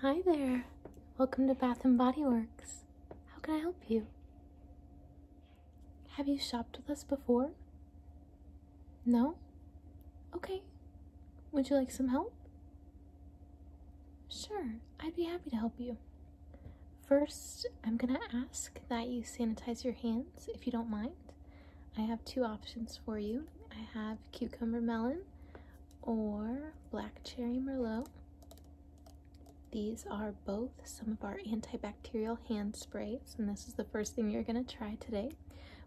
Hi there. Welcome to Bath and Body Works. How can I help you? Have you shopped with us before? No? Okay. Would you like some help? Sure, I'd be happy to help you. First, I'm gonna ask that you sanitize your hands if you don't mind. I have two options for you. I have cucumber melon or black cherry merlot. These are both some of our antibacterial hand sprays, and this is the first thing you're going to try today.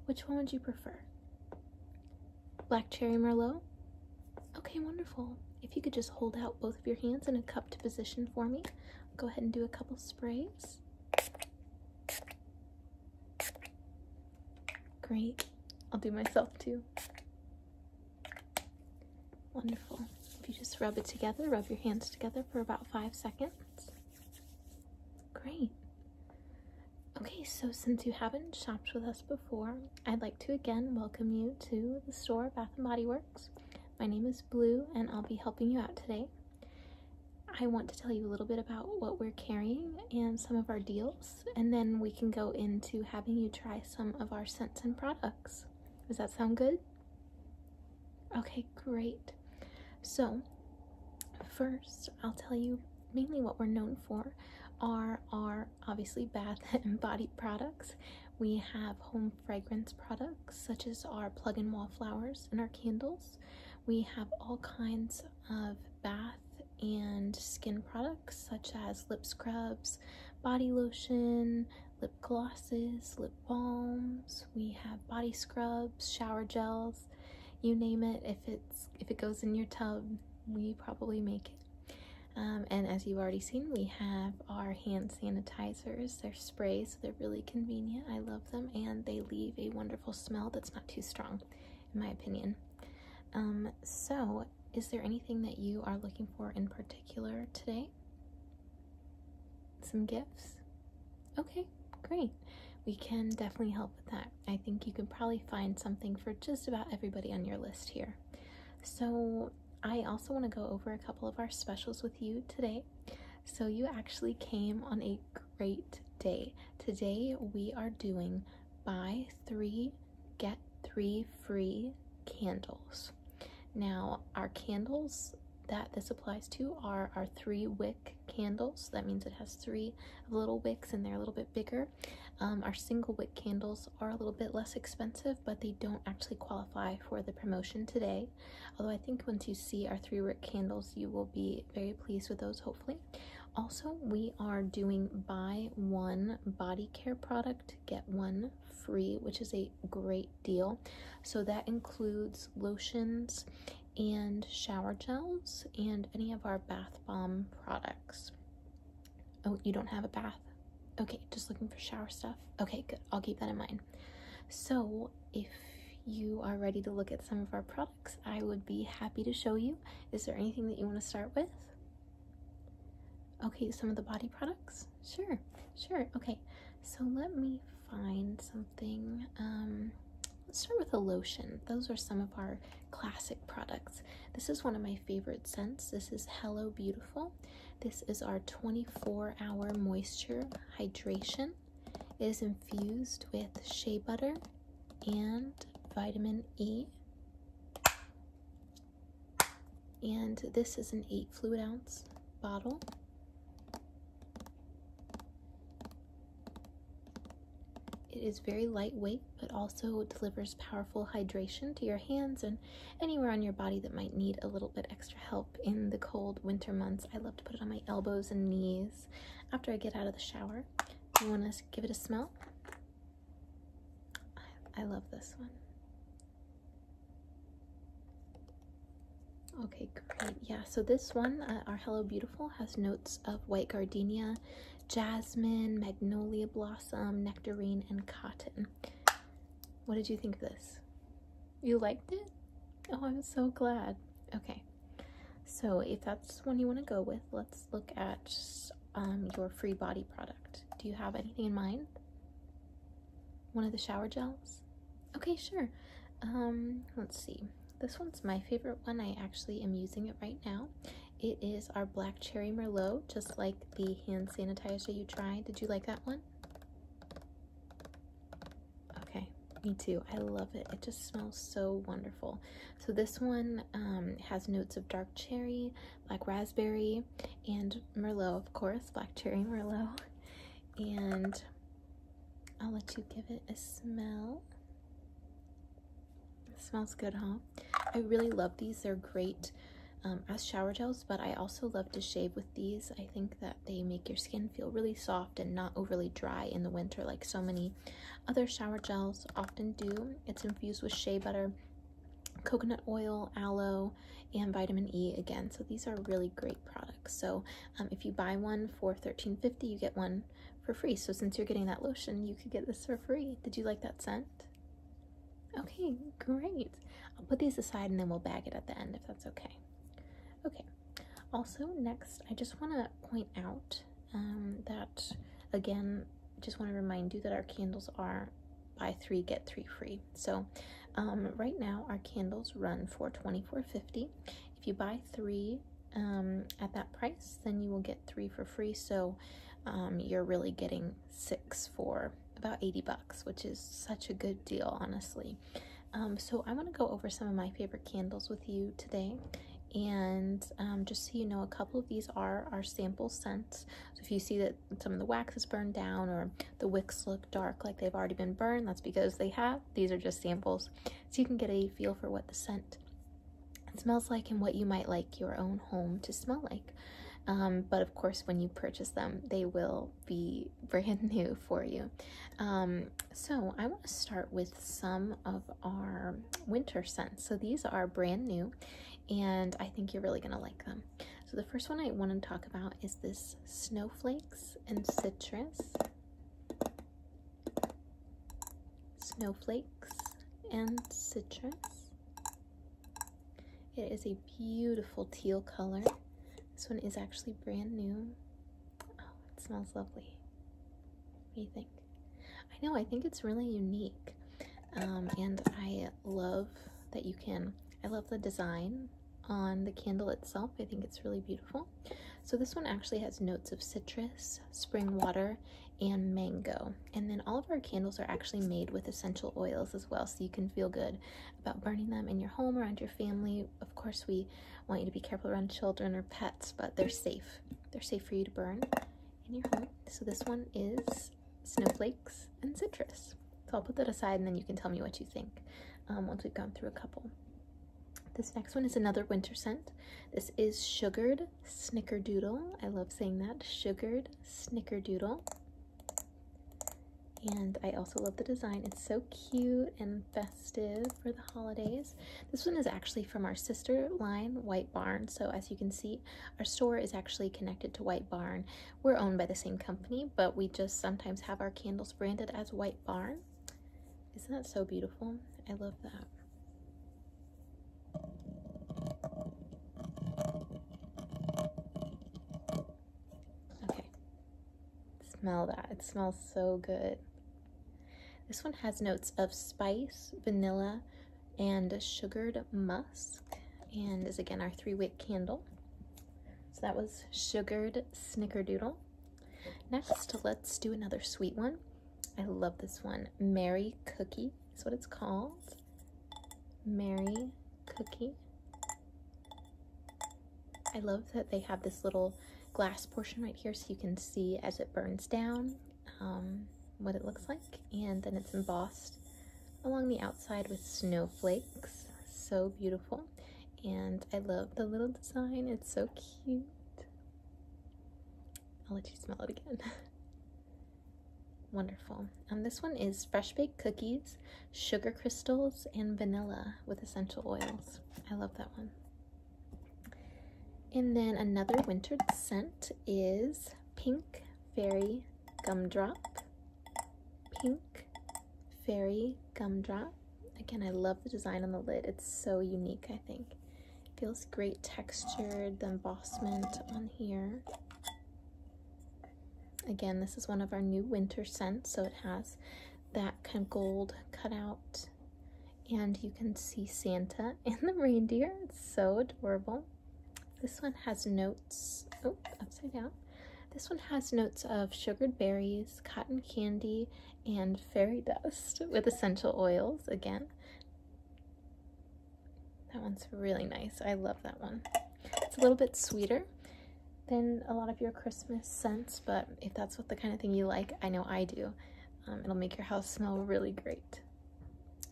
Which one would you prefer? Black cherry merlot? Okay, wonderful. If you could just hold out both of your hands in a cupped position for me, go ahead and do a couple sprays. Great. I'll do myself too. Wonderful. If you just rub it together, rub your hands together for about five seconds. Great. Okay, so since you haven't shopped with us before, I'd like to again welcome you to the store Bath & Body Works. My name is Blue and I'll be helping you out today. I want to tell you a little bit about what we're carrying and some of our deals and then we can go into having you try some of our scents and products. Does that sound good? Okay, great. So first I'll tell you mainly what we're known for are our obviously bath and body products. We have home fragrance products such as our plug-in wallflowers and our candles. We have all kinds of bath and skin products such as lip scrubs, body lotion, lip glosses, lip balms. We have body scrubs, shower gels, you name it. If it's if it goes in your tub, we probably make it. Um, and as you've already seen, we have our hand sanitizers. They're sprays, so they're really convenient. I love them, and they leave a wonderful smell that's not too strong in my opinion. Um, so, is there anything that you are looking for in particular today? Some gifts? Okay, great. We can definitely help with that. I think you can probably find something for just about everybody on your list here. So, I also want to go over a couple of our specials with you today. So, you actually came on a great day. Today, we are doing buy three, get three free candles. Now, our candles that this applies to are our three wick candles. That means it has three little wicks and they're a little bit bigger. Um, our single wick candles are a little bit less expensive, but they don't actually qualify for the promotion today. Although I think once you see our three wick candles, you will be very pleased with those, hopefully. Also, we are doing buy one body care product, get one free, which is a great deal. So that includes lotions and shower gels and any of our bath bomb products. Oh, you don't have a bath? Okay, just looking for shower stuff? Okay, good. I'll keep that in mind. So if you are ready to look at some of our products. I would be happy to show you. Is there anything that you want to start with? Okay, some of the body products? Sure, sure. Okay, so let me find something. Um, let's start with a lotion. Those are some of our classic products. This is one of my favorite scents. This is Hello Beautiful. This is our 24 hour moisture hydration. It is infused with shea butter and vitamin E. And this is an 8 fluid ounce bottle. It is very lightweight, but also delivers powerful hydration to your hands and anywhere on your body that might need a little bit extra help in the cold winter months. I love to put it on my elbows and knees after I get out of the shower. You want to give it a smell. I, love this one. Okay, great. Yeah, so this one, uh, our Hello Beautiful, has notes of white gardenia, jasmine, magnolia blossom, nectarine, and cotton. What did you think of this? You liked it? Oh, I'm so glad. Okay, so if that's one you want to go with, let's look at um, your free body product. Do you have anything in mind? One of the shower gels? Okay, sure. Um, let's see. This one's my favorite one. I actually am using it right now. It is our Black Cherry Merlot, just like the hand sanitizer you tried. Did you like that one? Okay, me too. I love it. It just smells so wonderful. So this one um, has notes of dark cherry, like raspberry, and Merlot, of course, black cherry Merlot. And I'll let you give it a smell. smells good, huh? I really love these. They're great um, as shower gels, but I also love to shave with these. I think that they make your skin feel really soft and not overly dry in the winter like so many other shower gels often do. It's infused with shea butter, coconut oil, aloe, and vitamin E again. So these are really great products. So um, if you buy one for thirteen fifty, you get one for free. So since you're getting that lotion, you could get this for free. Did you like that scent? Okay, great. I'll put these aside and then we'll bag it at the end if that's okay. Okay, also next, I just wanna point out um, that again just want to remind you that our candles are buy three get three free so um, right now our candles run for 24.50 if you buy three um, at that price then you will get three for free so you're really getting six for about 80 bucks which is such a good deal honestly so I want to go over some of my favorite candles with you today. And um, just so you know, a couple of these are our sample scents. So if you see that some of the wax has burned down or the wicks look dark like they've already been burned, that's because they have. These are just samples. So you can get a feel for what the scent smells like and what you might like your own home to smell like. Um, but of course, when you purchase them, they will be brand new for you. Um, so I want to start with some of our winter scents. So these are brand new and I think you're really gonna like them. So the first one I wanna talk about is this Snowflakes and Citrus. Snowflakes and Citrus. It is a beautiful teal color. This one is actually brand new. Oh, it smells lovely. What do you think? I know, I think it's really unique. Um, and I love that you can, I love the design on the candle itself. I think it's really beautiful. So this one actually has notes of citrus, spring water, and mango. And then all of our candles are actually made with essential oils as well, so you can feel good about burning them in your home, around your family. Of course, we want you to be careful around children or pets, but they're safe. They're safe for you to burn in your heart. So this one is snowflakes and citrus. So I'll put that aside and then you can tell me what you think um, once we've gone through a couple. This next one is another winter scent. This is Sugared Snickerdoodle. I love saying that, Sugared Snickerdoodle. And I also love the design. It's so cute and festive for the holidays. This one is actually from our sister line, White Barn. So as you can see, our store is actually connected to White Barn. We're owned by the same company, but we just sometimes have our candles branded as White Barn. Isn't that so beautiful? I love that. smell that. It smells so good. This one has notes of spice, vanilla, and sugared musk, and is again our three-wick candle. So that was sugared snickerdoodle. Next, let's do another sweet one. I love this one. Mary Cookie is what it's called. Mary Cookie. I love that they have this little glass portion right here so you can see as it burns down. Um, what it looks like and then it's embossed along the outside with snowflakes so beautiful and I love the little design it's so cute I'll let you smell it again wonderful and um, this one is fresh baked cookies sugar crystals and vanilla with essential oils I love that one and then another wintered scent is Pink Fairy Gumdrop. Pink Fairy Gumdrop. Again, I love the design on the lid. It's so unique, I think. feels great textured, the embossment on here. Again, this is one of our new winter scents, so it has that kind of gold cutout and you can see Santa and the reindeer. It's so adorable. This one has notes, oh, upside down. This one has notes of sugared berries, cotton candy, and fairy dust with essential oils again. That one's really nice. I love that one. It's a little bit sweeter than a lot of your Christmas scents, but if that's what the kind of thing you like, I know I do, um, it'll make your house smell really great.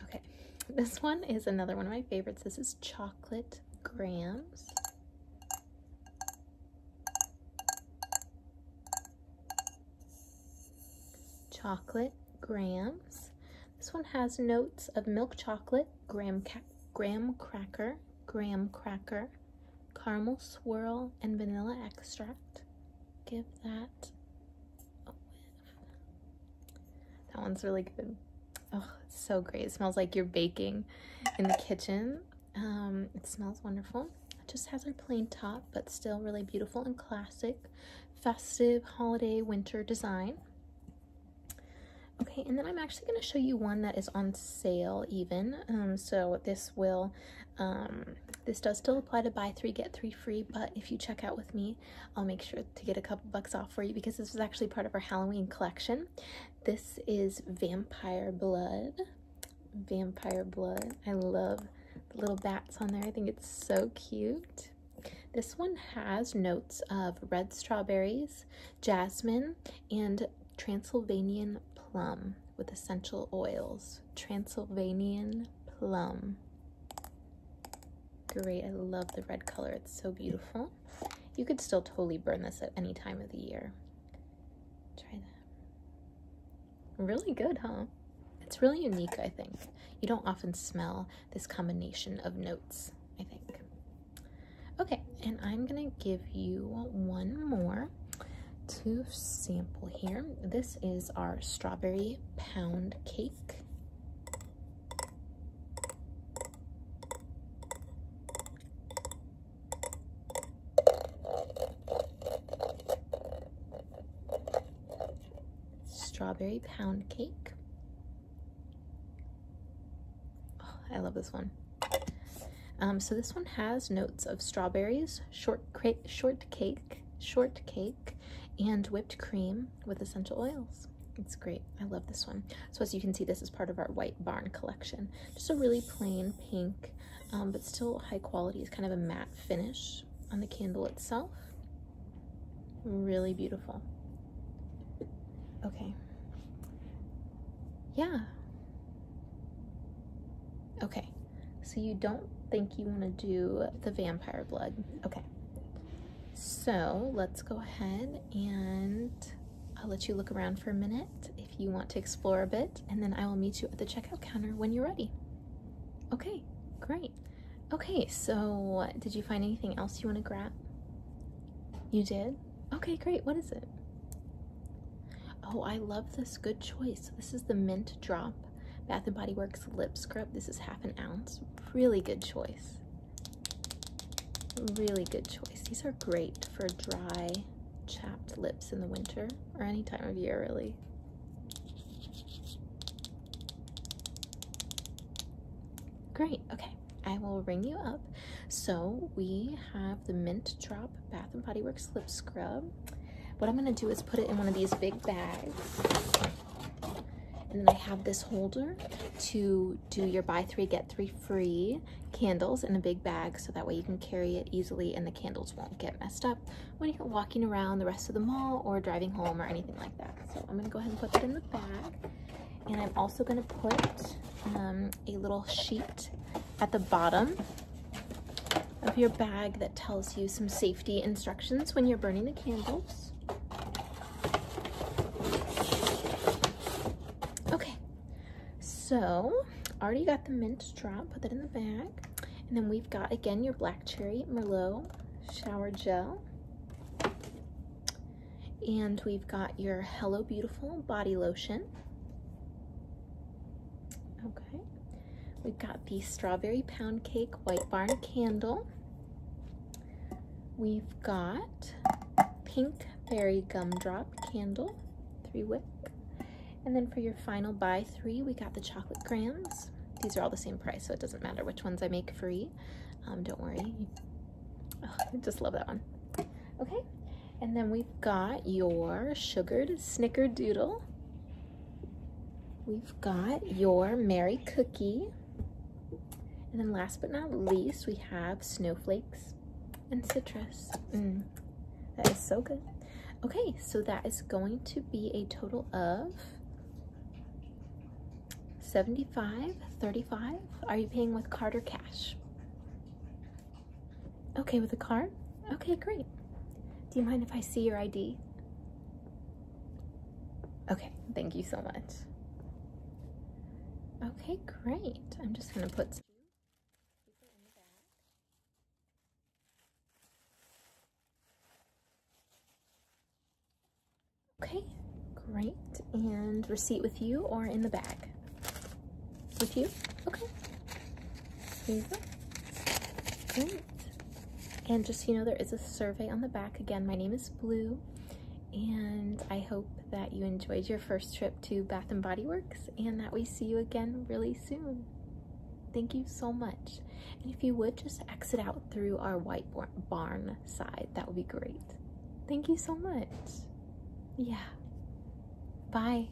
Okay, this one is another one of my favorites. This is Chocolate Grams. Chocolate Grams. This one has notes of milk chocolate, graham, graham cracker, graham cracker, caramel swirl, and vanilla extract give that a whiff. That one's really good. Oh, it's so great. It smells like you're baking in the kitchen. Um, it smells wonderful. It just has our plain top, but still really beautiful and classic, festive holiday winter design. Okay, and then I'm actually going to show you one that is on sale even. Um, so this will um, this does still apply to buy three, get three free, but if you check out with me, I'll make sure to get a couple bucks off for you because this is actually part of our Halloween collection. This is Vampire Blood. Vampire Blood. I love the little bats on there. I think it's so cute. This one has notes of red strawberries, jasmine, and Transylvanian plum with essential oils, Transylvanian plum. Great, I love the red color, it's so beautiful. You could still totally burn this at any time of the year. Try that. Really good, huh? It's really unique, I think. You don't often smell this combination of notes, I think. Okay, and I'm gonna give you one more to sample here. This is our strawberry pound cake. Strawberry pound cake. Oh, I love this one. Um, so this one has notes of strawberries, short shortcake, Shortcake and whipped cream with essential oils. It's great. I love this one. So as you can see, this is part of our White Barn collection. Just a really plain pink, um, but still high quality. It's kind of a matte finish on the candle itself. Really beautiful. Okay. Yeah. Okay. So you don't think you want to do the vampire blood. Okay. So let's go ahead and I'll let you look around for a minute if you want to explore a bit, and then I will meet you at the checkout counter when you're ready. Okay, great. Okay, so did you find anything else you want to grab? You did? Okay, great. What is it? Oh, I love this. Good choice. This is the mint drop Bath and Body Works lip scrub. This is half an ounce. Really good choice. Really good choice. These are great for dry, chapped lips in the winter or any time of year, really. Great. Okay. I will ring you up. So we have the mint drop Bath and Body Works lip scrub. What I'm gonna do is put it in one of these big bags. And then I have this holder to do your buy three, get three free candles in a big bag so that way you can carry it easily and the candles won't get messed up when you're walking around the rest of the mall or driving home or anything like that. So I'm gonna go ahead and put that in the bag. And I'm also gonna put um, a little sheet at the bottom of your bag that tells you some safety instructions when you're burning the candles. Okay, so already got the mint drop, put that in the bag. And then we've got, again, your black cherry Merlot shower gel. And we've got your Hello Beautiful body lotion. Okay. We've got the Strawberry Pound Cake White Barn Candle. We've got Pink Berry Gumdrop Candle, three wick. And then for your final buy three, we got the Chocolate Grams. These are all the same price, so it doesn't matter which ones I make free. Um, don't worry. Oh, I just love that one. Okay, and then we've got your sugared snickerdoodle We've got your Mary Cookie. And then last but not least, we have snowflakes and citrus. Mm, that is so good. Okay, so that is going to be a total of 75, 35. Are you paying with card or cash? Okay with a card. Okay, great. Do you mind if I see your ID? Okay, thank you so much. Okay, great. I'm just gonna put Okay, great. And receipt with you or in the bag? With you? Okay. And just you know, there is a survey on the back. Again, my name is Blue, and I hope that you enjoyed your first trip to Bath & Body Works, and that we see you again really soon. Thank you so much. And if you would just exit out through our white barn side, that would be great. Thank you so much. Yeah. Bye.